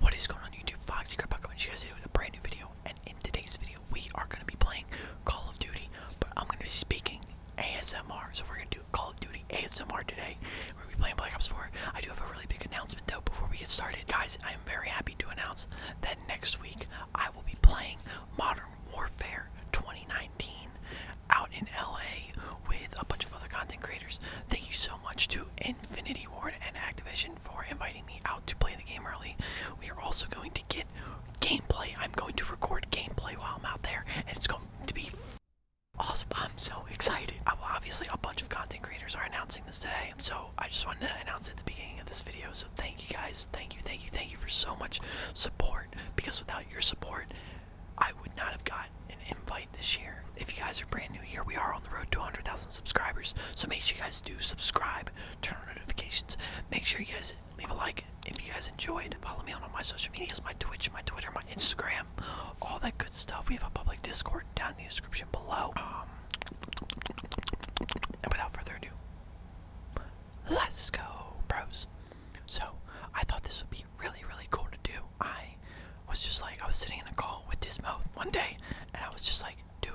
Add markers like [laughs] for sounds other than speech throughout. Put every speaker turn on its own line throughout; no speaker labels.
What is going on YouTube? Foxy Crap back coming to you guys today with a brand new video. And in today's video, we are going to be playing Call of Duty, but I'm going to be speaking ASMR. So we're going to do Call of Duty ASMR today. We're going to be playing Black Ops 4. I do have a really big announcement though before we get started. Guys, I am very happy to announce that next week I will be playing Modern Warfare 2019 out in LA with a bunch of other content creators. Thank you so much to Infinity Ward and Activision for inviting me out to play the game early. We are also going to get gameplay. I'm going to record gameplay while I'm out there, and it's going to be awesome. I'm so excited. Obviously, a bunch of content creators are announcing this today, so I just wanted to announce it at the beginning of this video. So thank you guys. Thank you, thank you, thank you for so much support, because without your support, I would not have got an invite this year. If you guys are brand new here, we are on the road to 100,000 subscribers. So make sure you guys do subscribe, turn on notifications. Make sure you guys leave a like if you guys enjoyed. Follow me on all my social medias, my Twitch, my Twitter, my Instagram, all that good stuff. We have a public Discord down in the description below. Um, and without further ado, let's go, bros. So I thought this would be really, really cool to do. I was just like I was sitting in a call with mouth one day, and I was just like, dude,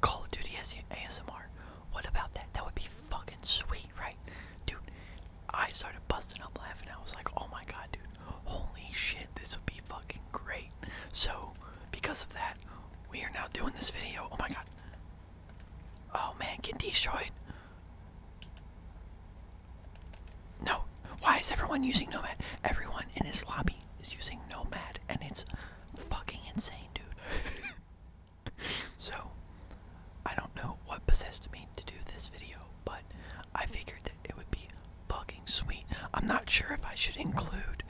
Call of Duty as ASMR. What about that? That would be fucking sweet, right? Dude, I started busting up laughing. I was like, oh my god, dude, holy shit, this would be fucking great. So, because of that, we are now doing this video. Oh my god. Oh man, get destroyed. No. Why is everyone using Nomad? Everyone in his lobby is using Nomad, and it's fucking insane, dude. [laughs] so, I don't know what possessed me to do this video, but I figured that it would be fucking sweet. I'm not sure if I should include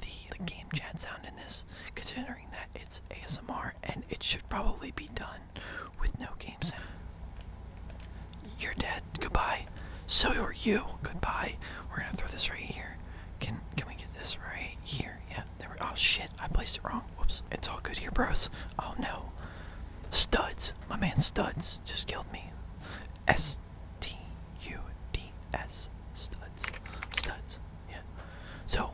the, the game chat sound in this, considering that it's ASMR and it should probably be done with no game sound. You're dead. Goodbye. So are you. Goodbye. We're gonna throw this right here. Can can we get this right here? Yeah. oh shit, I placed it wrong. Whoops. It's all good here, bros. Oh no. Studs. My man Studs just killed me. S T U D S Studs. Studs. Yeah. So,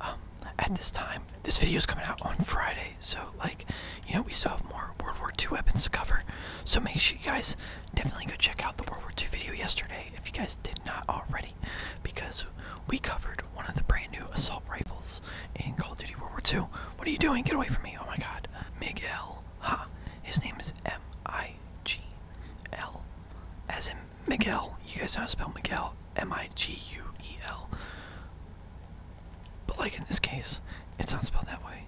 um, at this time, this video is coming out on Friday. So, like, you know, we still have more World War II weapons to cover. So make sure you guys definitely go check out the World War II video yesterday if you guys did not already, because we covered one of the brand new assault rifles in Call of Duty World War II. What are you doing? Get away from me! Oh my God, Miguel. Ha! His name is M I G L, as in Miguel. You guys know how to spell Miguel? M I G U E L. But like in this case, it's not spelled that way.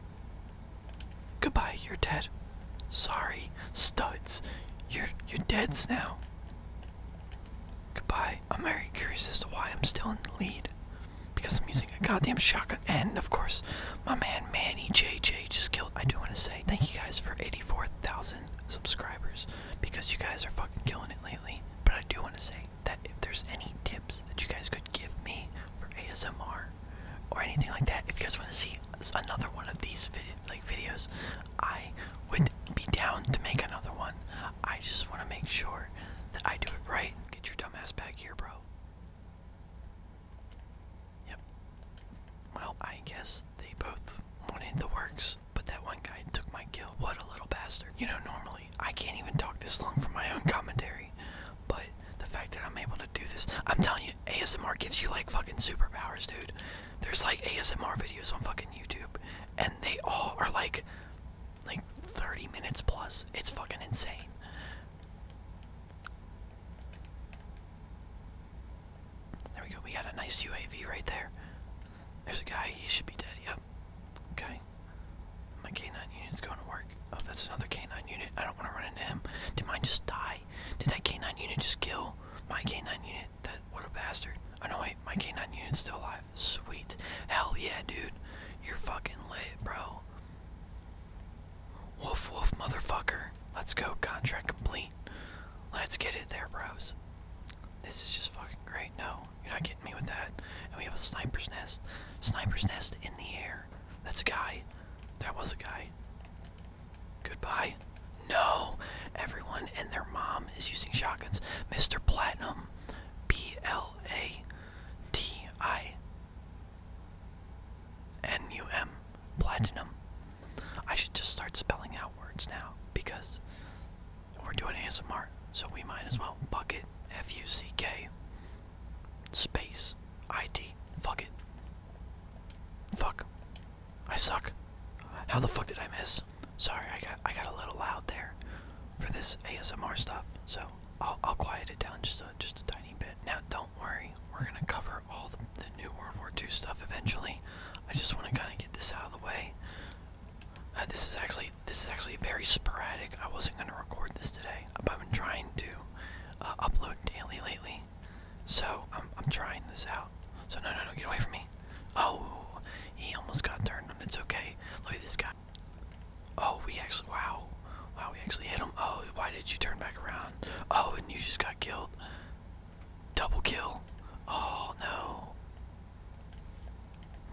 Goodbye, you're dead. Sorry, studs. You're you're deads now. Goodbye. I'm very curious as to why I'm still in the lead. Because I'm using a goddamn shotgun. And of course, my man Manny J J just killed. I do want to say thank you guys for 84,000 subscribers. Because you guys are fucking killing it lately. But I do want to say that if there's any tips that you guys could give me for ASMR, or anything like that. If you guys want to see another one of these like videos, I would be down to make another one. I just want to make sure that I do it right. Get your dumbass back here, bro. Yep. Well, I guess they both wanted the works, but that one guy took my kill. What a little bastard. You know, normally I can't even talk this long for my own commentary, but the fact that I'm able to do this, I'm telling you, ASMR gives you like fucking superpowers, dude. There's like ASMR videos on fucking YouTube, and they all are like, like 30 minutes plus. It's fucking insane. There we go. We got a nice UAV right there. There's a guy. He should be dead. Yep. Okay. My canine unit's going to work. Oh, that's another canine unit. I don't want to run into him. Do mine just die? Did that K9 unit just kill my K9 unit? That what a bastard. Oh no wait, my K9 unit's still alive. Sweet. Hell yeah, dude. You're fucking lit, bro. Woof woof motherfucker. Let's go. Contract complete. Let's get it there, bros. This is just fucking great. No, you're not getting me with that. And we have a sniper's nest. Sniper's nest in the air. That's a guy. That was a guy. Goodbye. No, everyone and their mom is using shotguns. Mr. Platinum, P L A T I N U M, Platinum. I should just start spelling out words now because we're doing ASMR, so we might as well. Bucket, F U C K, space, Id Fuck it. Fuck. I suck. How the fuck did I miss? Sorry, I got I got a little loud there for this ASMR stuff. So I'll I'll quiet it down just a just a tiny bit. Now don't worry, we're gonna cover all the, new World War II stuff eventually. I just want to kind of get this out of the way. Uh, this is actually this is actually very sporadic. I wasn't gonna record this today. I've been trying to uh, upload daily lately, so I'm trying this out. So no no no get away from me. Oh he almost got turned and it's okay. Look at this guy. Oh we actually wow. Wow we actually hit him. Oh why did you turn back around? Oh and you just got killed. Double kill. Oh no.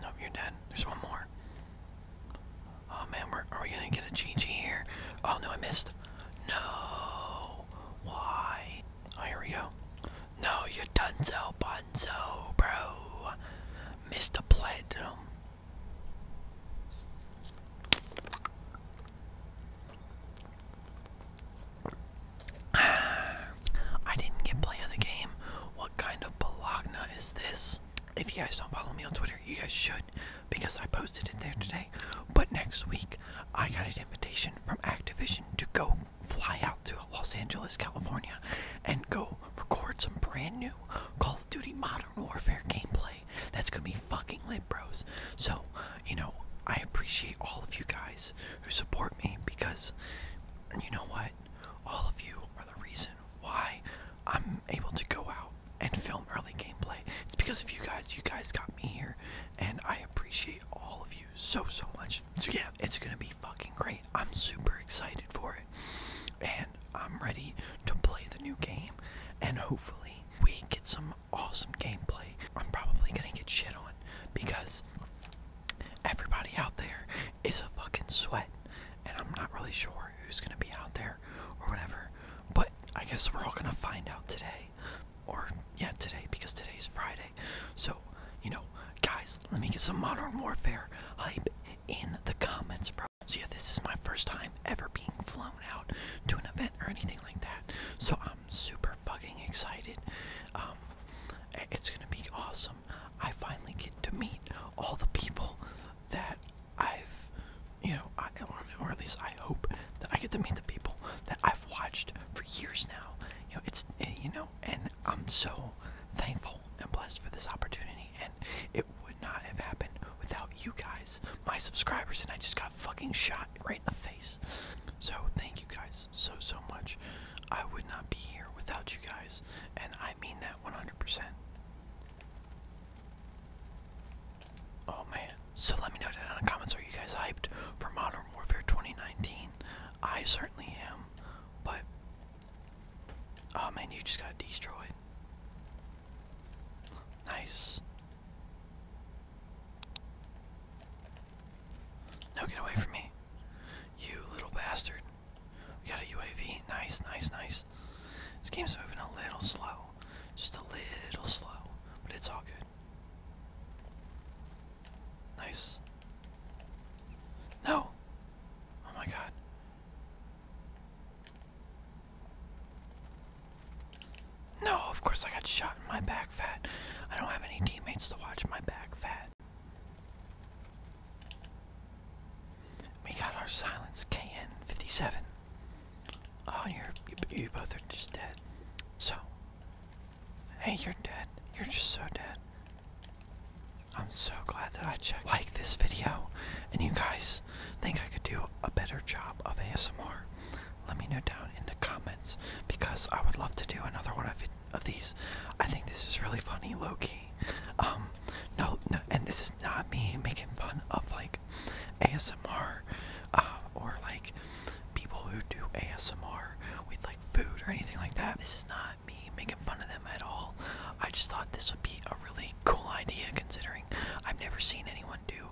No, you're dead. There's one more. Oh man, we're, are we gonna get a GG here? Oh no, I missed. No. Oh, here we go. No, you dunzo bunzo, bro. Mr. Platinum. [sighs] I didn't get play of the game. What kind of balagna is this? If you guys don't follow me on Twitter, you guys should because I posted it there today. But next week, I got an invitation from Activision to go fly out to Los Angeles, California, and go record some brand new Call of Duty Modern Warfare gameplay. That's gonna be fucking lit, bros. So, you know, I appreciate all of you guys who support me because you know what? All of you are the reason why I'm able to go out and film early gameplay. It's because of you guys. You guys got me here and I appreciate all of you so so much. So yeah, it's gonna be fucking great. I'm super excited for it, and I'm ready to play the new game, and hopefully we get some awesome gameplay. I'm probably gonna get shit on because everybody out there is a fucking sweat, and I'm not really sure who's gonna be out there or whatever. But I guess we're all gonna find out today or yeah, today because today is Friday. So, you know, guys, let me get some Modern Warfare hype in the comments, bro. So yeah, this is my first time ever being flown out to an event or anything like that. So I'm super fucking excited. Um, it's gonna be awesome. I finally get to meet all the people that I've you know, or at least I hope that I get to meet the people that I've watched for years now. You know, it's eh, you know, and I'm so thankful and blessed for this opportunity. And it would not have happened without you guys, my subscribers, and I just got fucking shot right in the face. So thank you guys so so much. I would not be here without you guys, and I mean that 100%. Oh man. So let me know down in the comments are you guys hyped for Modern Warfare 2019? I certainly am. But Oh man, you just got destroyed. Nice. No, get away from me. You little bastard. We got a UAV. Nice, nice, nice. This game's moving a little slow. Just a little slow. But it's all good. Nice. No! Oh my god. No, of course I got shot in my back fat. I don't have any teammates to watch my back fat. We got our silence KN57. Oh, you're, you, both are just dead. So, hey, you're dead. You're just so dead. I'm so glad that I checked. Like this video, and you guys think I could do a better job of ASMR. Let me know down in the comments because I would love to do another one of of these. I think this is really funny, Loki. Um, no, no, and this is not me making fun of like ASMR uh, or like people who do ASMR with like food or anything like that. This is not me making fun of them at all. I just thought this would be a really cool idea considering I've never seen anyone do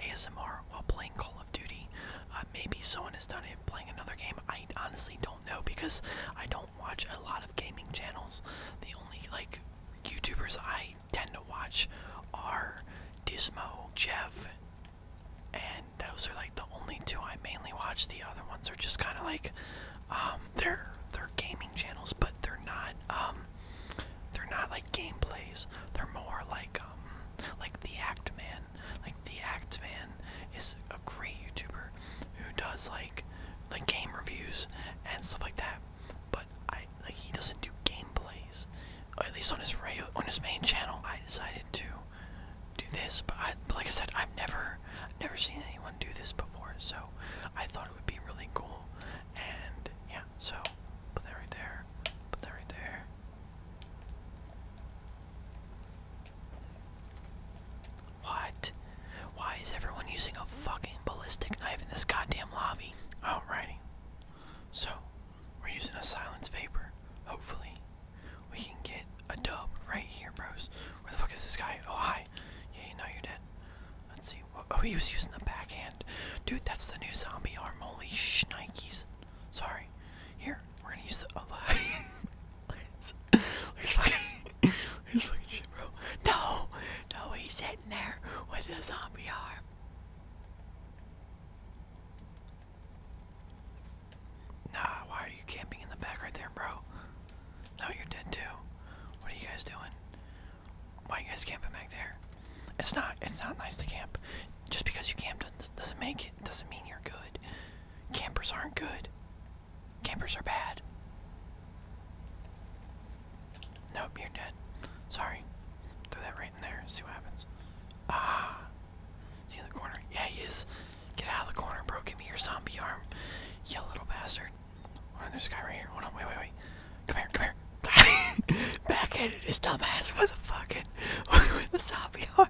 ASMR while playing Call of Duty. Uh, maybe someone has done it playing another game. I honestly don't know because I don't watch a lot of gaming channels. The only like YouTubers I tend to watch are Dismo, Jeff, and those are like the only two I mainly watch. The other ones are just kind of like, um, they're they're gaming channels, but they're not um, they're not like gameplays. They're more like um, like the Act Man. Like the Act Man is a great YouTuber who does like like game reviews and stuff like that. But I like he doesn't do gameplays at least on his main channel, I decided to do this. But like I said, I've never, never seen anyone do this before, so I thought it would be really cool. And yeah, so put that right there, put that right there. What? Why is everyone using a fucking ballistic knife in this goddamn lobby? Alrighty. So, we're using a silence vapor. Hopefully, we can get a dub right here, bros. Where the fuck is this guy? Oh, hi. Yeah, you know you're dead. Let's see. Oh, he was using the backhand. Dude, that's the new zombie arm. Holy schnikes. Sorry. Here, we're gonna use the. Oh, [laughs] hi. look at this fucking. [laughs] This fucking shit, bro. No! No, he's sitting there with the zombie arm. Nah, why are you camping in the back right there, bro? No, you're dead too. What are you guys doing? Why are you guys camping back there? It's not. It's not nice to camp. Just because you camp doesn't make it. Doesn't mean you're good. Campers aren't good. Campers are bad. Nope, you're dead. Sorry. Throw that right in there. See what happens. Ah, in the corner? Yeah, he is. Get out of the corner, bro. Give me your zombie arm. You little bastard. Oh, there's a guy right here. Hold on, wait, wait, wait. Come here, come here. [laughs] Backhanded his dumb ass with a fucking [laughs] with the zombie arm.